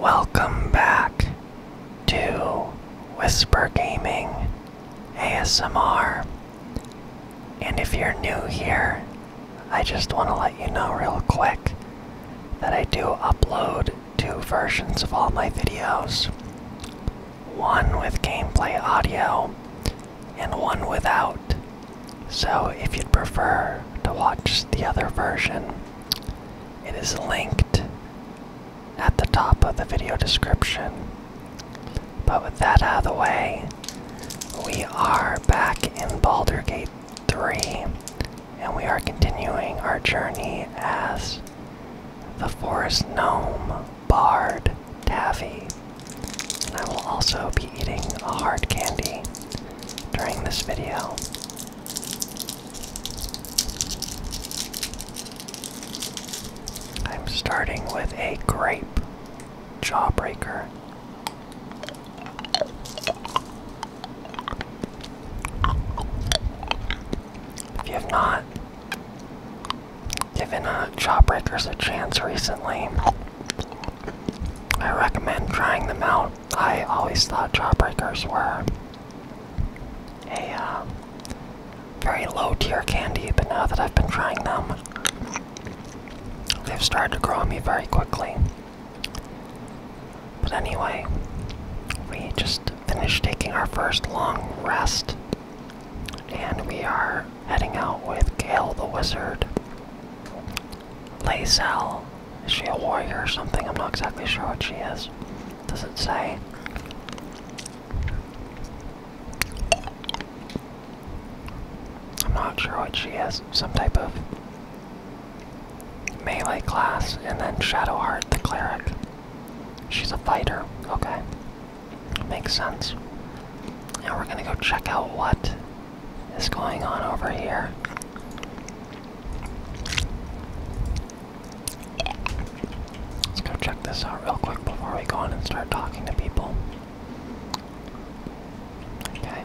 Welcome back to Whisper Gaming ASMR. And if you're new here, I just want to let you know real quick that I do upload two versions of all my videos one with gameplay audio and one without. So, if you'd prefer to watch the other version, it is linked at the top of the video description. But with that out of the way, we are back in Baldur Gate 3, and we are continuing our journey as the Forest Gnome Bard Taffy. And I will also be eating a hard candy during this video. I'm starting with a grape jawbreaker. If you have not given uh, jawbreakers a chance recently, I recommend trying them out. I always thought Jawbreakers were a um, very low tier candy, but now that I've been trying them, they've started to grow on me very quickly. But anyway, we just finished taking our first long rest, and we are heading out with Gale the Wizard Lazel. Is she a warrior or something? I'm not exactly sure what she is. Does it say? I'm not sure what she is. Some type of melee class, and then Shadowheart, the cleric. She's a fighter. Okay. Makes sense. Now we're gonna go check out what is going on over here? Let's go check this out real quick before we go on and start talking to people. Okay.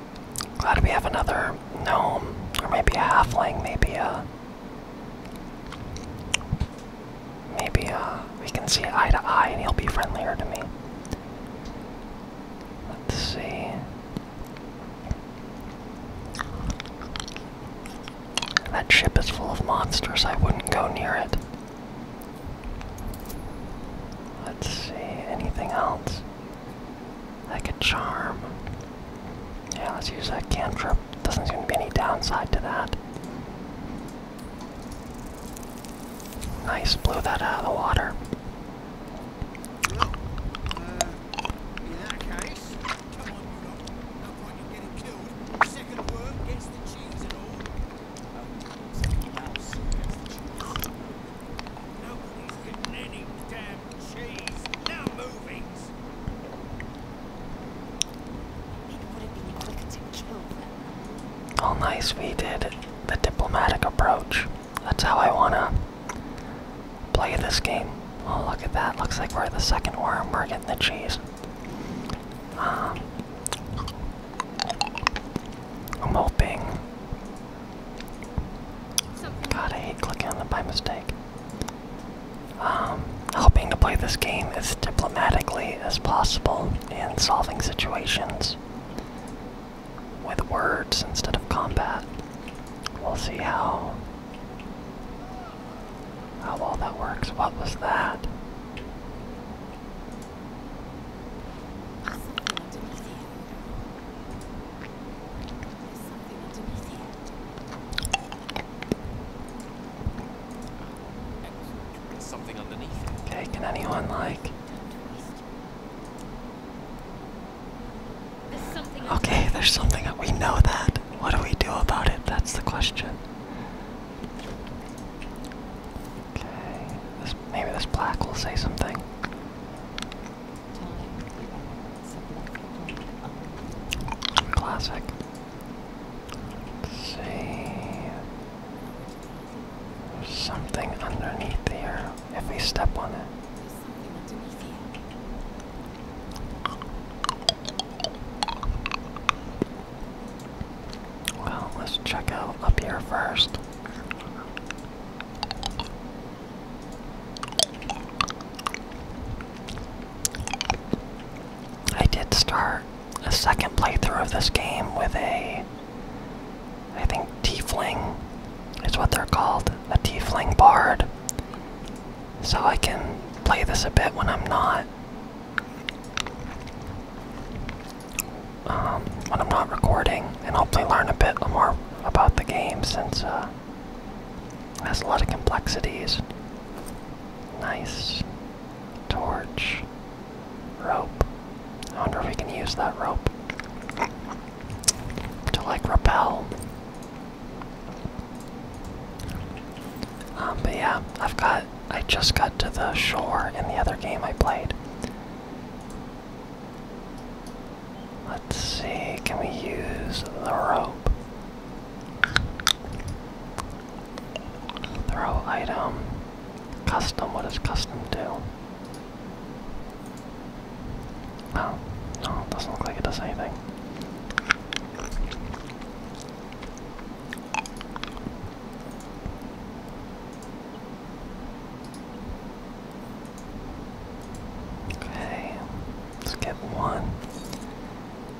Glad we have another gnome, or maybe a halfling, maybe a. Uh, maybe uh, we can see eye to eye and he'll be friendlier to me. Let's see. That ship is full of monsters, I wouldn't go near it. Let's see, anything else? Like a charm. Yeah, let's use a cantrip. Doesn't seem to be any downside to that. Nice, blew that out of the water. in that case, come on, Rudolph. No point in getting killed. Second word gets the cheese and all. Oh, nice, we did the diplomatic approach. That's how I wanna play this game. Oh, look at that. Looks like we're the second worm. We're getting the cheese. Um, I'm hoping God, I hate clicking on them by mistake. Um, hoping to play this game as diplomatically as possible in solving situations with words instead of combat. We'll see how how well that works. What was that? Okay, can anyone like there's Okay, there's something that we know that. What do we do about it? That's the question. Okay. maybe this black will say something. Classic. see. There's something underneath here. If we step on it. Well, let's check out up here first. I did start a second playthrough of this game with a, I think, T-fling. is what they're called, a T-fling bard. So I can play this a bit when I'm not, um, when I'm not recording, and hopefully learn a bit more about the game since uh, has a lot of complexities. Nice. Torch. Rope. I wonder if we can use that rope to like repel. Um, but yeah, I've got. I just got to the shore in the other game I played. Let's see, can we use the rope? Throw item. Custom, what does custom do? Oh, no, doesn't look like it does anything. Okay, let's get one.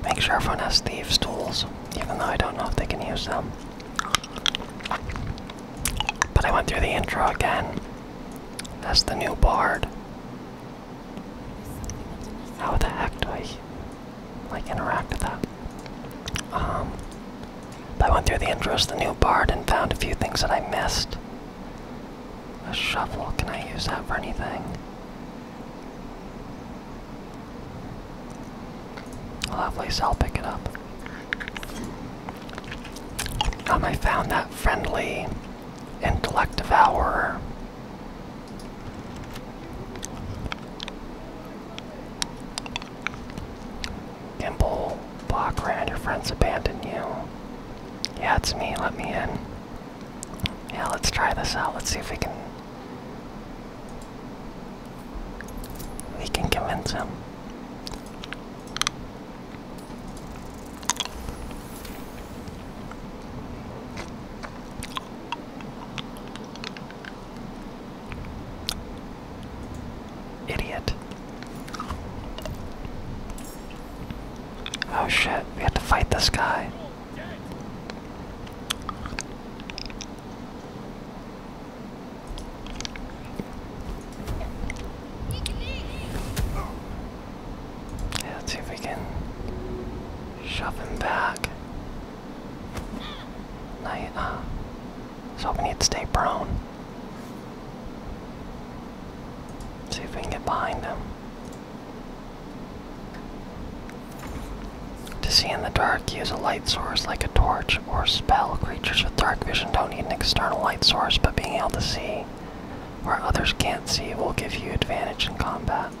Make sure everyone has thieves' tools, even though I don't know if they can use them. But I went through the intro again. That's the new bard. How the heck do I like interact with that? Um, I went through the intro as the new bard and found a few things that I missed. A shovel, can I use that for anything? Lovely, so I'll pick it up. Um, I found that friendly intellect devourer. Gimbal block ran, your friends abandon you. Yeah, it's me. Let me in. Yeah, let's try this out. Let's see if we can. We can convince him. Idiot. Oh shit, we have to fight this guy. let's see if we can shove him back. Night, so hoping he'd stay prone. See if we can get behind them. To see in the dark, use a light source like a torch or spell. Creatures with dark vision don't need an external light source, but being able to see where others can't see will give you advantage in combat.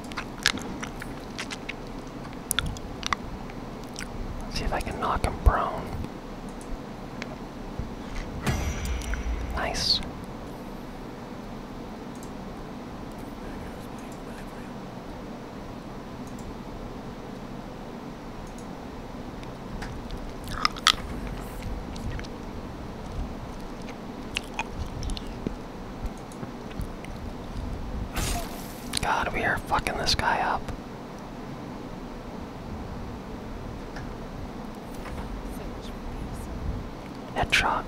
see if I can knock him prone. Nice. God, we are fucking this guy up. Headshot.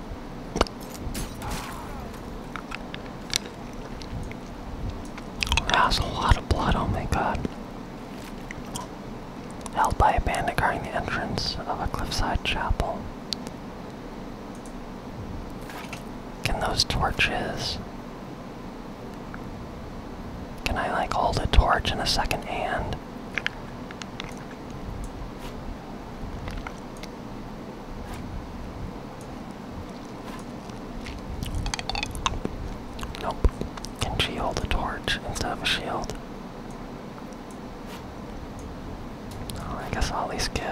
That's a lot of blood, oh my god. Held by a bandit guarding the entrance of a cliffside chapel. Can those torches. Can I like hold a torch in a second hand? Nope. Can she hold a torch instead of a shield? Oh, I guess I'll at least give.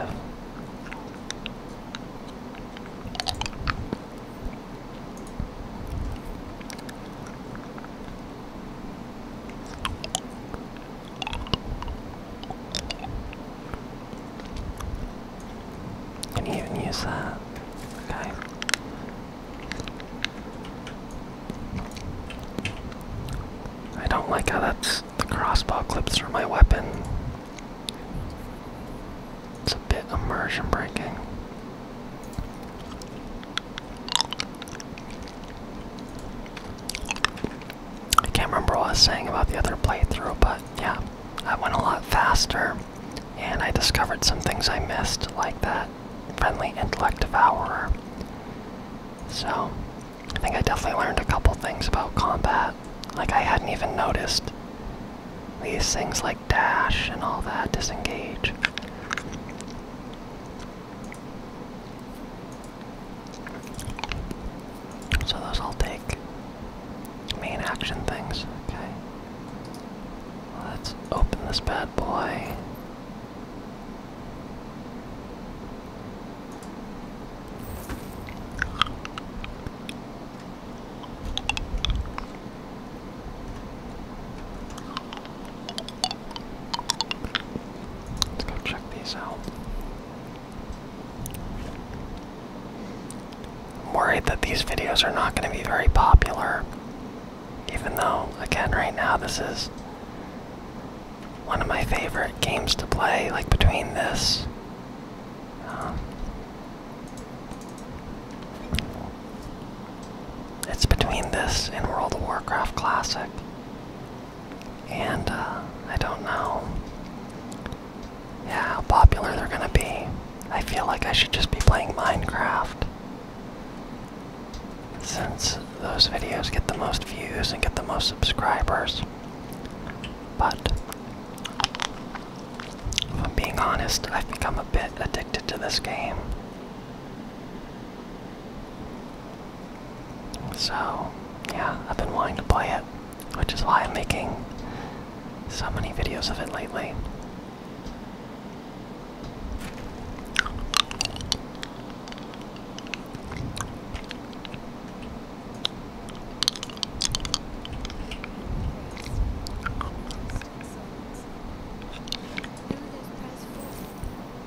Can you even use that? Okay. I don't like how that's the crossbow clips through my weapon. It's a bit immersion breaking. I can't remember what I was saying about the other playthrough, but yeah, I went a lot faster and I discovered some things I missed, like that friendly intellect devourer. So, I think I definitely learned a couple things about combat. Like, I hadn't even noticed these things like dash and all that disengage. So those all take main action things. Okay. Let's open this bad boy. Let's go check these out. I'm worried that these videos are not going to be very popular. Even though, again, right now, this is one of my favorite games to play, like between this. Um, it's between this and World of Warcraft Classic. And uh, I don't know. Yeah, how popular they're gonna be. I feel like I should just be playing Minecraft. Since those videos get the most views and get the most subscribers. But, if I'm being honest, I've become a bit addicted to this game. So, yeah, I've been wanting to play it, which is why I'm making so many videos of it lately.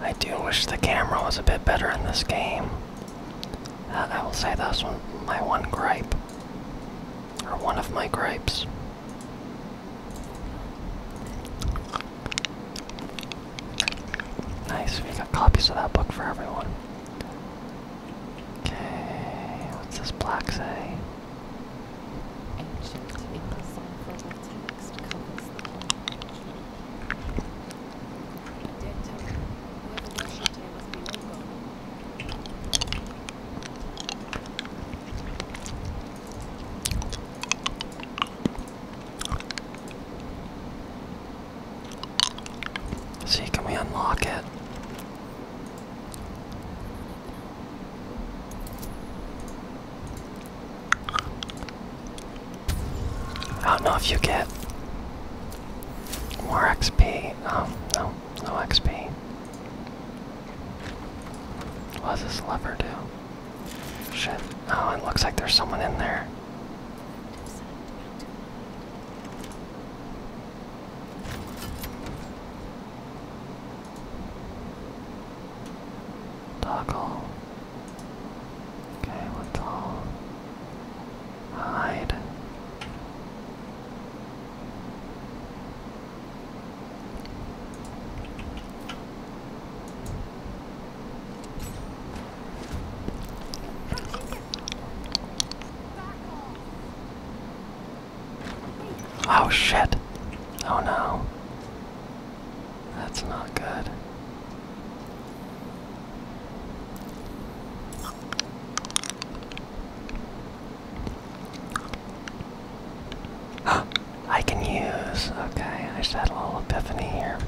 I do wish the camera was a bit better in this game. Uh, I will say that's my one gripe. Or one of my gripes. Nice, we got copies of that book for everyone. Okay, what's this black say? See, can we unlock it? I don't know if you get more XP. Oh, um, no, no XP. What does this lever do? Shit. Oh, it looks like there's someone in there. Toggle. Okay, let's all hide. Oh shit. Oh no. That's not good. I can use. Okay, I just had a little epiphany here.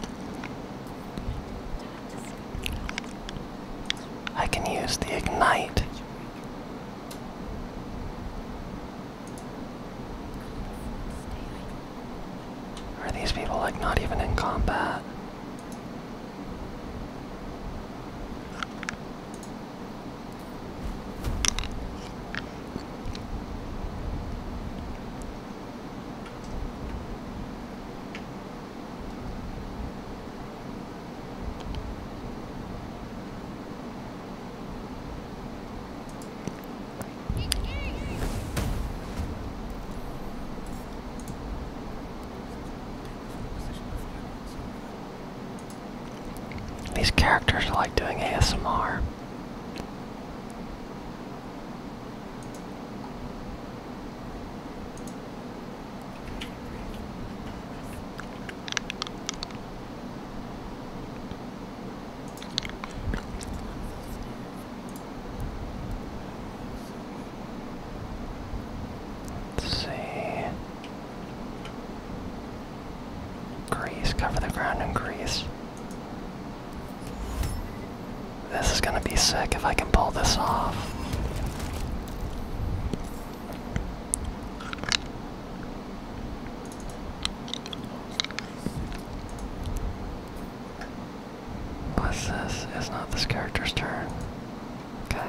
I can use the ignite. Are these people like not even in combat? These characters are like doing ASMR see. Grease, cover the ground in grease. This is gonna be sick if I can pull this off. What's this? It's not this character's turn. Okay.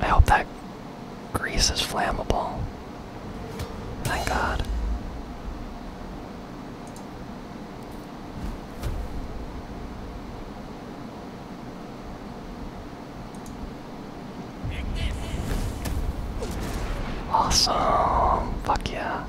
I hope that grease is flammable. Thank God. Awesome. Fuck yeah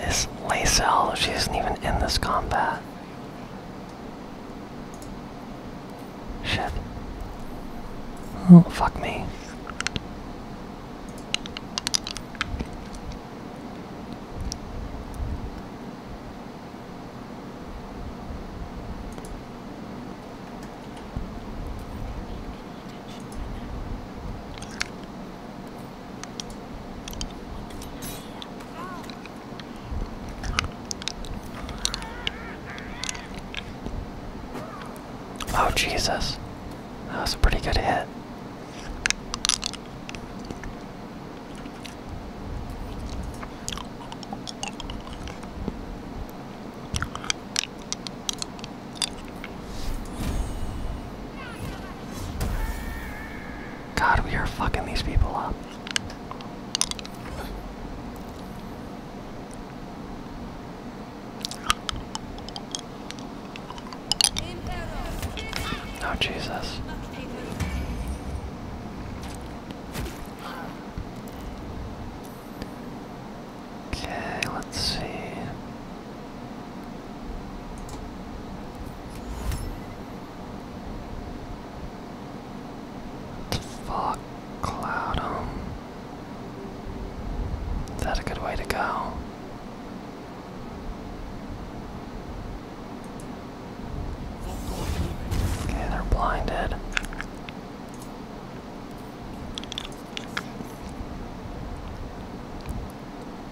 is Lacel. She isn't even in this combat. Shit. Oh, fuck me. Oh, Jesus. That was a pretty good hit. God, we are fucking these people up. Oh, Jesus. Okay, let's see. Fuck, cloud him. Is that a good way to go? Okay, they're blinded.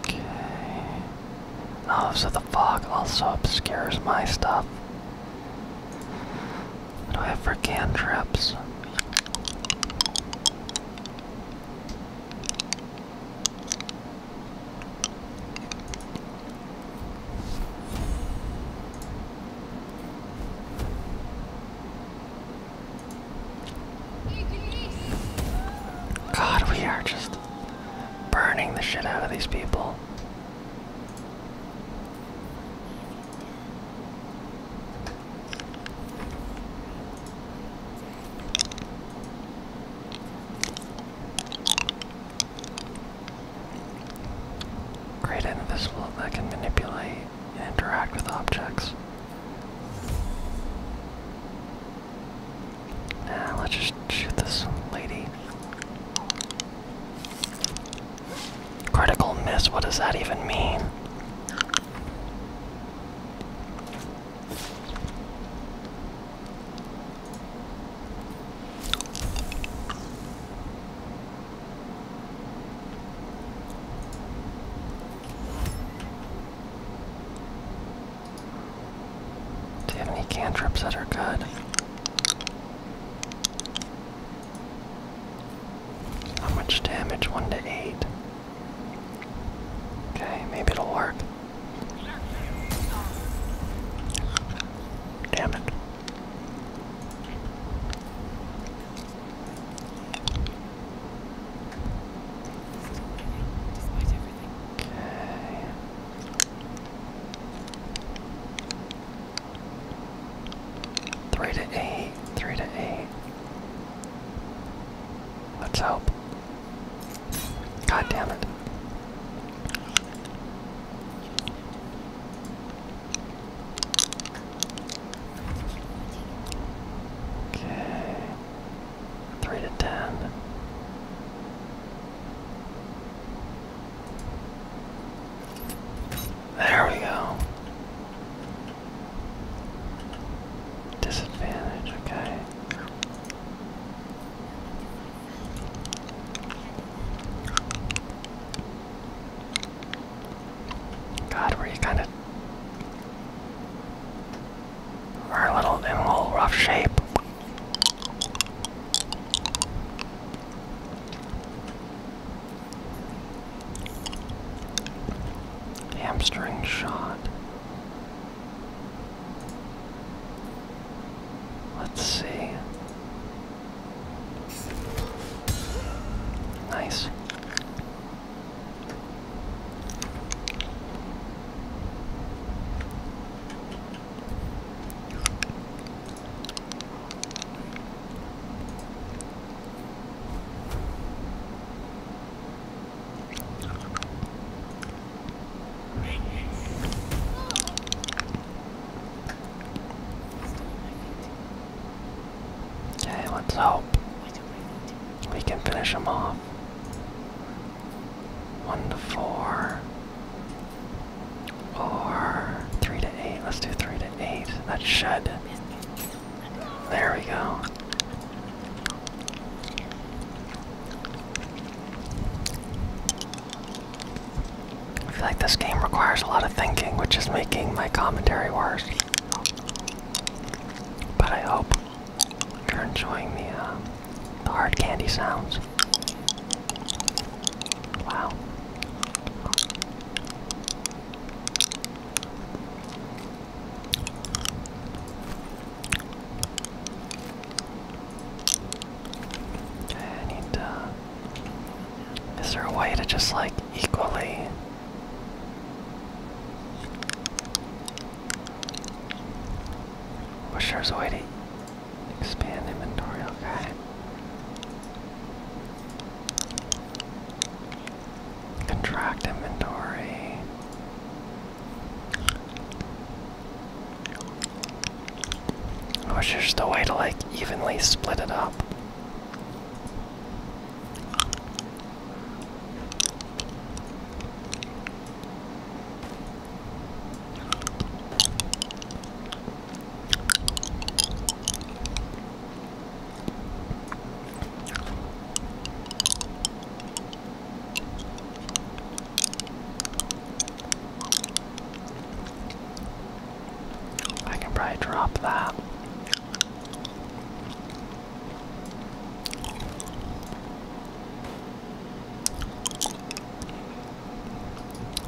Okay. Oh, so the fog also obscures my stuff. What do I have God, we are just burning the shit out of these people. Great invisible that can manipulate and interact with objects. Uh, let's just shoot this lady. Critical miss, what does that even mean? Do you have any cantrips that are good? How much damage? 1 to 8. Okay, maybe it'll work. Damn it. Three to eight. Three to eight. Let's hope. God damn it. Okay. Three to ten. There we go. Disadvantage, okay. God, where you kind of we're a little in a little rough shape. Hamstring shot. Let's see. Nice. Okay, let's hope we can finish them off. 1 to 4, or 3 to 8. Let's do 3 to 8. That should. There we go. I feel like this game requires a lot of thinking, which is making my commentary worse. But I hope you're enjoying the, uh, the hard candy sounds. Wow. Okay, I need to. Uh, is there a way to just like equally Pusher's waiting. Expand inventory, okay. Contract inventory. I wish there's a way to like evenly split it up. I can probably drop that.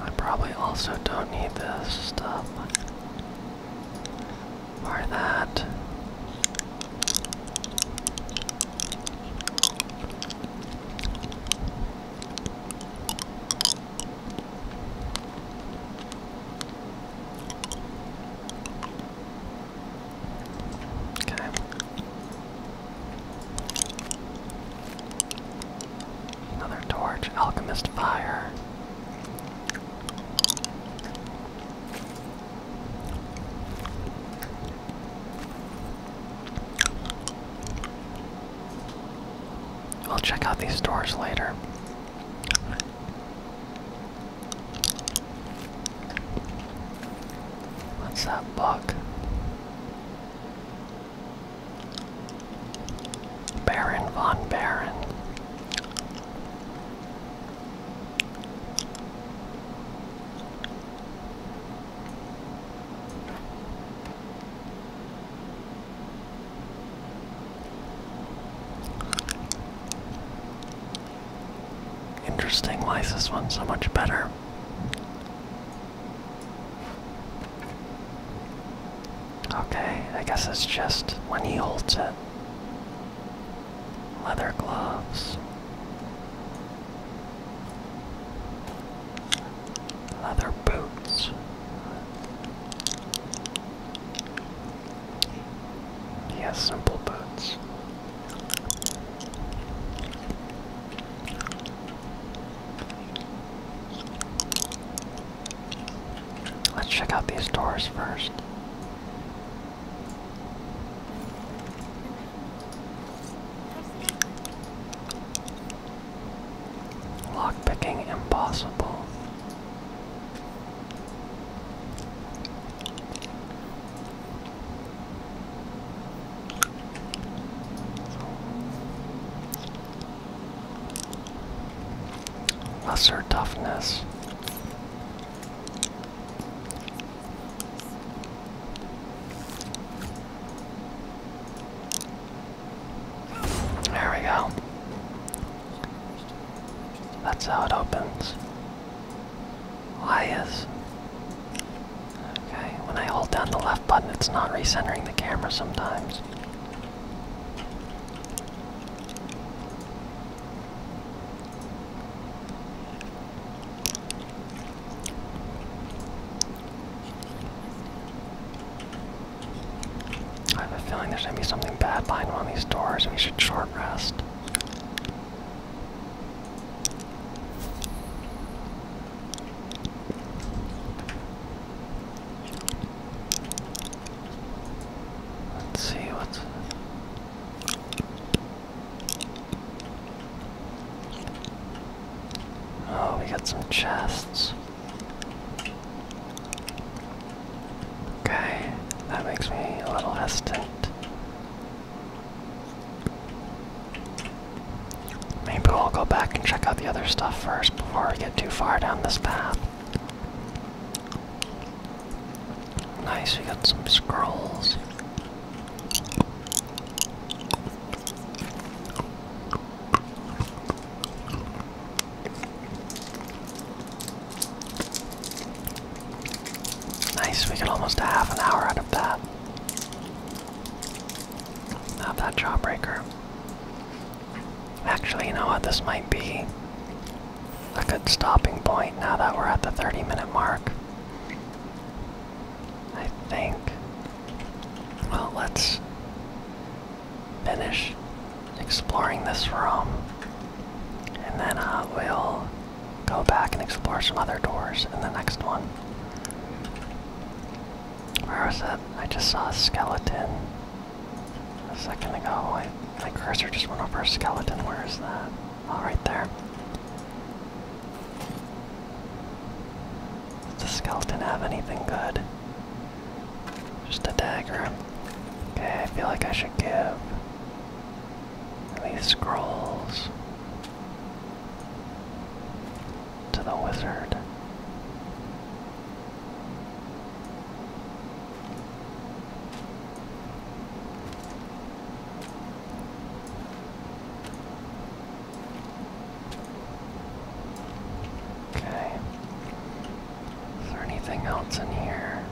I probably also don't need this stuff. Or that. Okay. Another torch, alchemist fire. i will check out these doors later. What's that bug? Baron von Baron. Interesting. Why is this one so much better? Okay, I guess it's just when he holds it. Leather gloves. Leather boots. He has simple boots. Let's check out these doors first. Lockpicking impossible. Lesser toughness. There we go. That's how it opens. Lias. Okay, when I hold down the left button, it's not recentering the camera sometimes. I have a feeling there's gonna be something bad behind one of these doors we should short rest. Let's see what. Oh, we got some chests. Okay, that makes me a little hesitant. Maybe we'll go back and check out the other stuff first before we get too far down this path. Nice, we got some scrolls. Nice, we get almost a half an hour out of that. Out that jawbreaker. Actually, you know what? This might be a good stopping point now that we're at the 30 minute mark. I think. Well, let's finish exploring this room and then I uh, will go back and explore some other doors in the next one. Where was it? I just saw a skeleton a second ago. my cursor just went over a skeleton. Where is that? Oh, right there. the skeleton have anything good? Just a dagger. Okay, I feel like I should give these scrolls to the wizard. Okay. Is there anything else in here?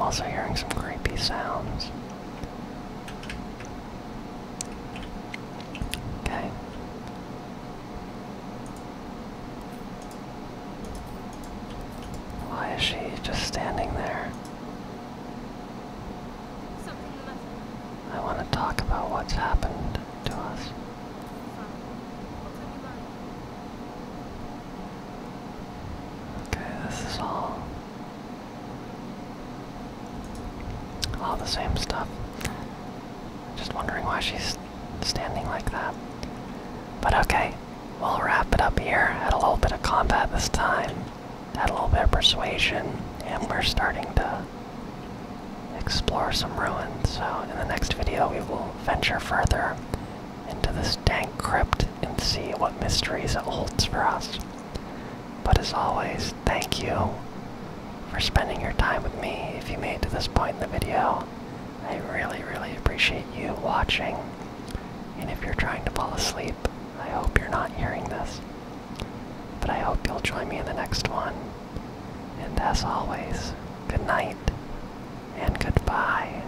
also hearing some creepy sounds. Okay. Why is she just standing there? I want to talk about what's happened to us. Okay, this is all all the same stuff. Just wondering why she's standing like that. But okay, we'll wrap it up here. Had a little bit of combat this time, had a little bit of persuasion, and we're starting to explore some ruins. So, in the next video, we will venture further into this dank crypt and see what mysteries it holds for us. But as always, thank you for spending your time with me. If you made to this point in the video, I really, really appreciate you watching. And if you're trying to fall asleep, I hope you're not hearing this. But I hope you'll join me in the next one. And as always, good night and goodbye.